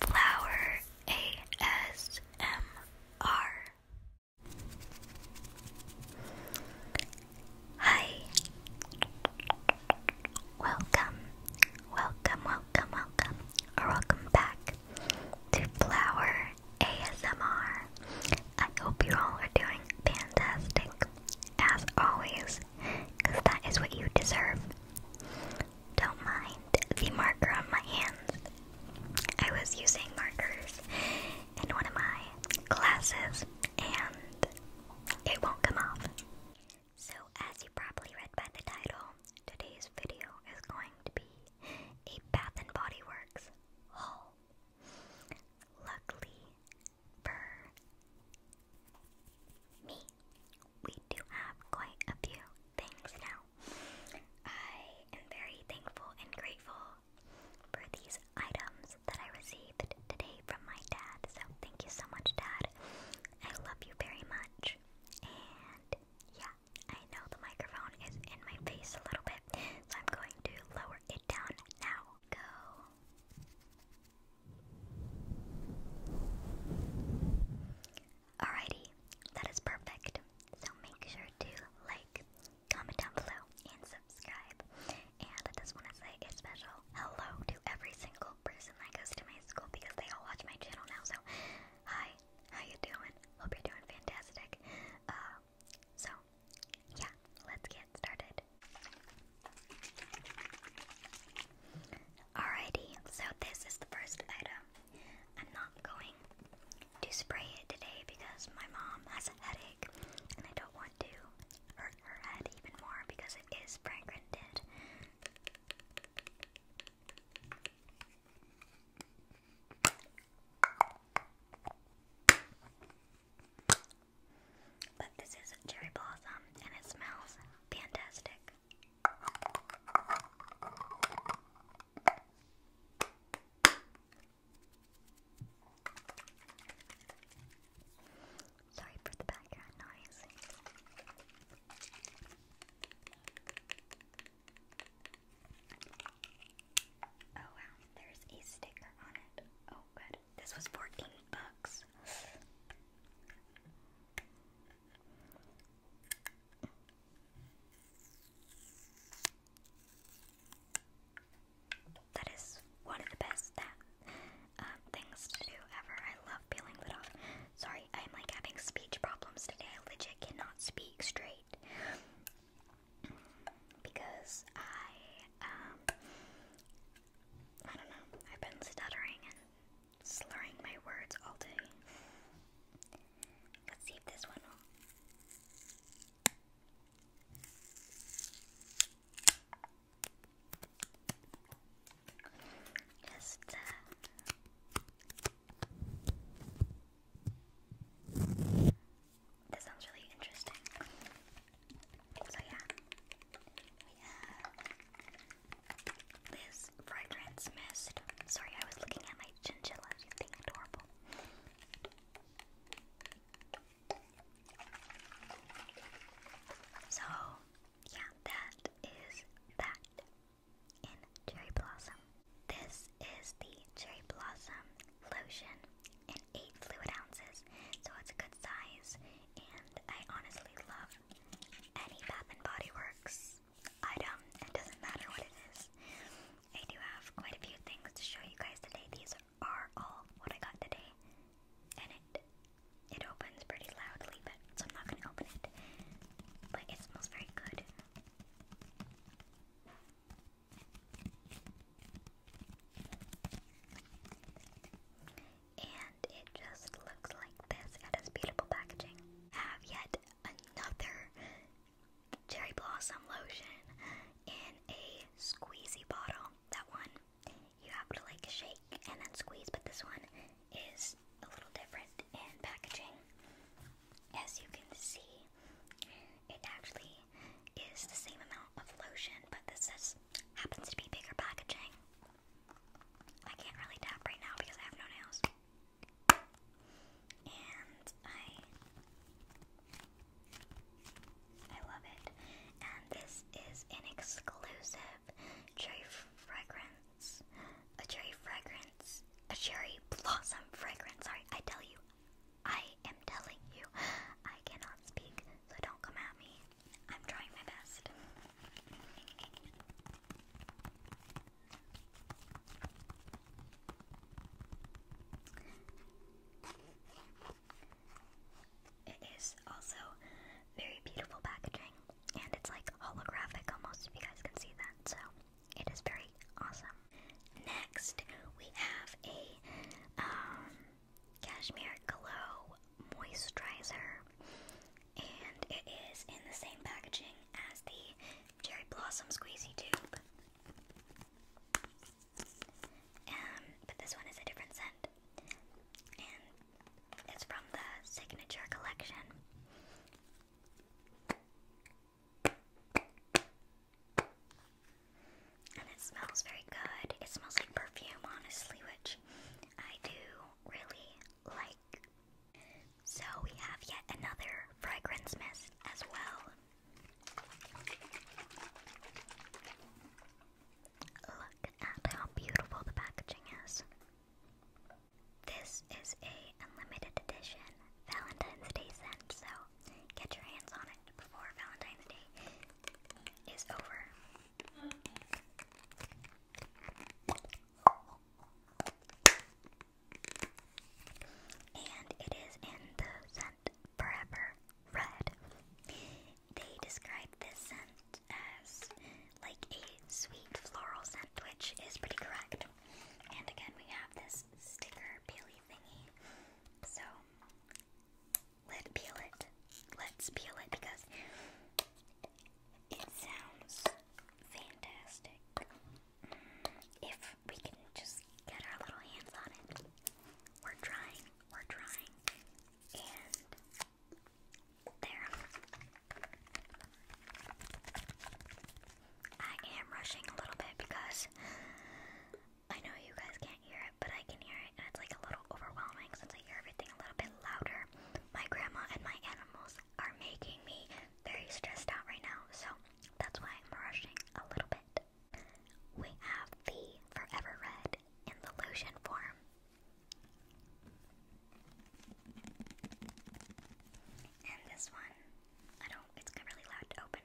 Flower ASMR. Hi. Welcome, welcome, welcome, welcome, welcome back to Flower ASMR. I hope you all are doing fantastic, as always, because that is what you deserve. Don't mind the marker on my hands. I was using markers in one of my classes and it won't come off. So, as you probably read by the title, today's video is going to be a Bath and Body Works haul. Luckily for me, we do have quite a few things now. I am very thankful and grateful for these items that I received today from my dad. So thank you so much, Dad. I love you very much. And yeah, I know the microphone is in my face a little bit, so I'm going to lower it down now. Go. Alrighty, that is perfect. So make sure to like, comment down below, and subscribe. And I just want to say a special hello to every single person that goes to my school because they all watch my channel now. So, hi, how you doing? Hope you're doing fantastic. Uh, so, yeah, let's get started. Alrighty, so this is the first item. I'm not going to spray it today because my mom has a headache and I don't want to hurt her head even more because it is fragranted. But this is cherry blossom and it smells fantastic. Sorry for the background noise. Oh wow, there's a sticker on it. Oh good. This was 14 bucks. That is one of the best that, uh, um, things to do ever. I love peeling that off. Sorry, I'm like having speech problems today. I cannot speak straight because I, um, I don't know. I've been stuttering slurring my words all day. Let's see if this one will. Just uh, this sounds really interesting. So yeah, we have this fragrance mist. Sorry, I was looking at my chinchilla. She's adorable. So yeah, that is that in cherry blossom. This is the cherry blossom lotion in eight fluid ounces, so it's a good size and I honestly love any Bath and Body Works item. It doesn't matter what it is. I do have quite a few things to show you guys today. These are all what I got today, and it it opens pretty loudly, but so I'm not gonna open it. But it smells very good and it just looks like this. and it's beautiful packaging. have yet another cherry blossom lotion in a squeezy bottle. That one you have to like shake and then squeeze, but this one is a little different in packaging. As you can see, it actually is the same amount of lotion, but this says Happens to be bigger packaging. I can't really tap right now because I have no nails. And I I love it. And this is an exclusive cherry fragrance. A cherry fragrance. A cherry blossom fragrance. Sorry, I tell you. I am telling you. I cannot speak so don't come at me. I'm trying my best. It is also very beautiful packaging and it's like holographic almost if you guys can see that. So it is very awesome. Next we have a um Cashmere Glow Moisturizer, and it is in the same packaging as the Cherry Blossom Squeezie Tube. Um, but this one is a different scent, and it's from the Signature Collection. And it smells very good. It smells like perfume, honestly, which I do really like. So we have yet another fragrance mist as well. Look at how beautiful the packaging is. This is a unlimited edition Valentine's Day scent, so get your hands on it before Valentine's Day is over. And it is in the scent Forever Red. They describe this scent as like a sweet floral scent, which is pretty correct. And again, we have this sticker Bailey thingy. So Let's peel it. Let's peel it because it sounds fantastic. If we can just get our little hands on it. We're trying, we're trying. And there. I am rushing a little bit because I know you guys can't hear it, but I can hear it, and it's like a little overwhelming since I hear everything a little bit louder. My grandma and my animals are making me very stressed out right now, so that's why I'm rushing a little bit. We have the Forever Red in the lotion form. And this one, I don't, it's really loud to open.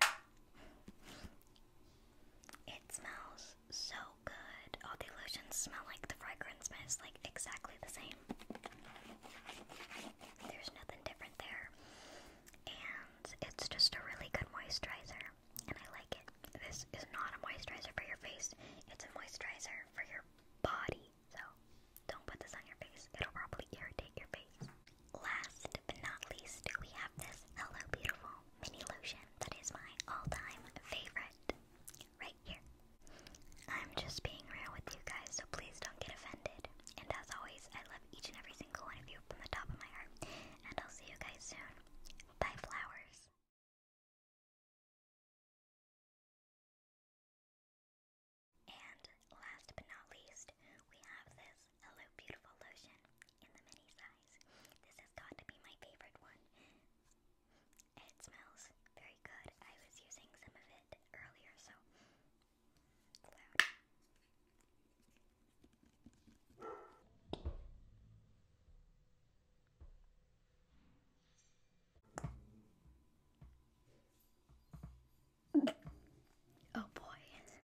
It smells so good. All the illusions smell like the fragrance mist, like exactly the same. There's nothing different there. And it's just a really good moisturizer, and I like it. This is not a moisturizer for your face, it's a moisturizer for your body. So don't put this on your face, it'll probably irritate your face. Last last but not least, we have this Hello Beautiful mini lotion that is my all-time favorite right here. I'm just being real with you guys, so please don't get offended. And as always, I love each and every single one of you from the top of my heart. And I'll see you guys soon. Bye, flowers. And last but not least, we have this Hello Beautiful Lotion in the mini size. This has got to be my favorite one. It smells very good. I was using some of it earlier, so oh boy,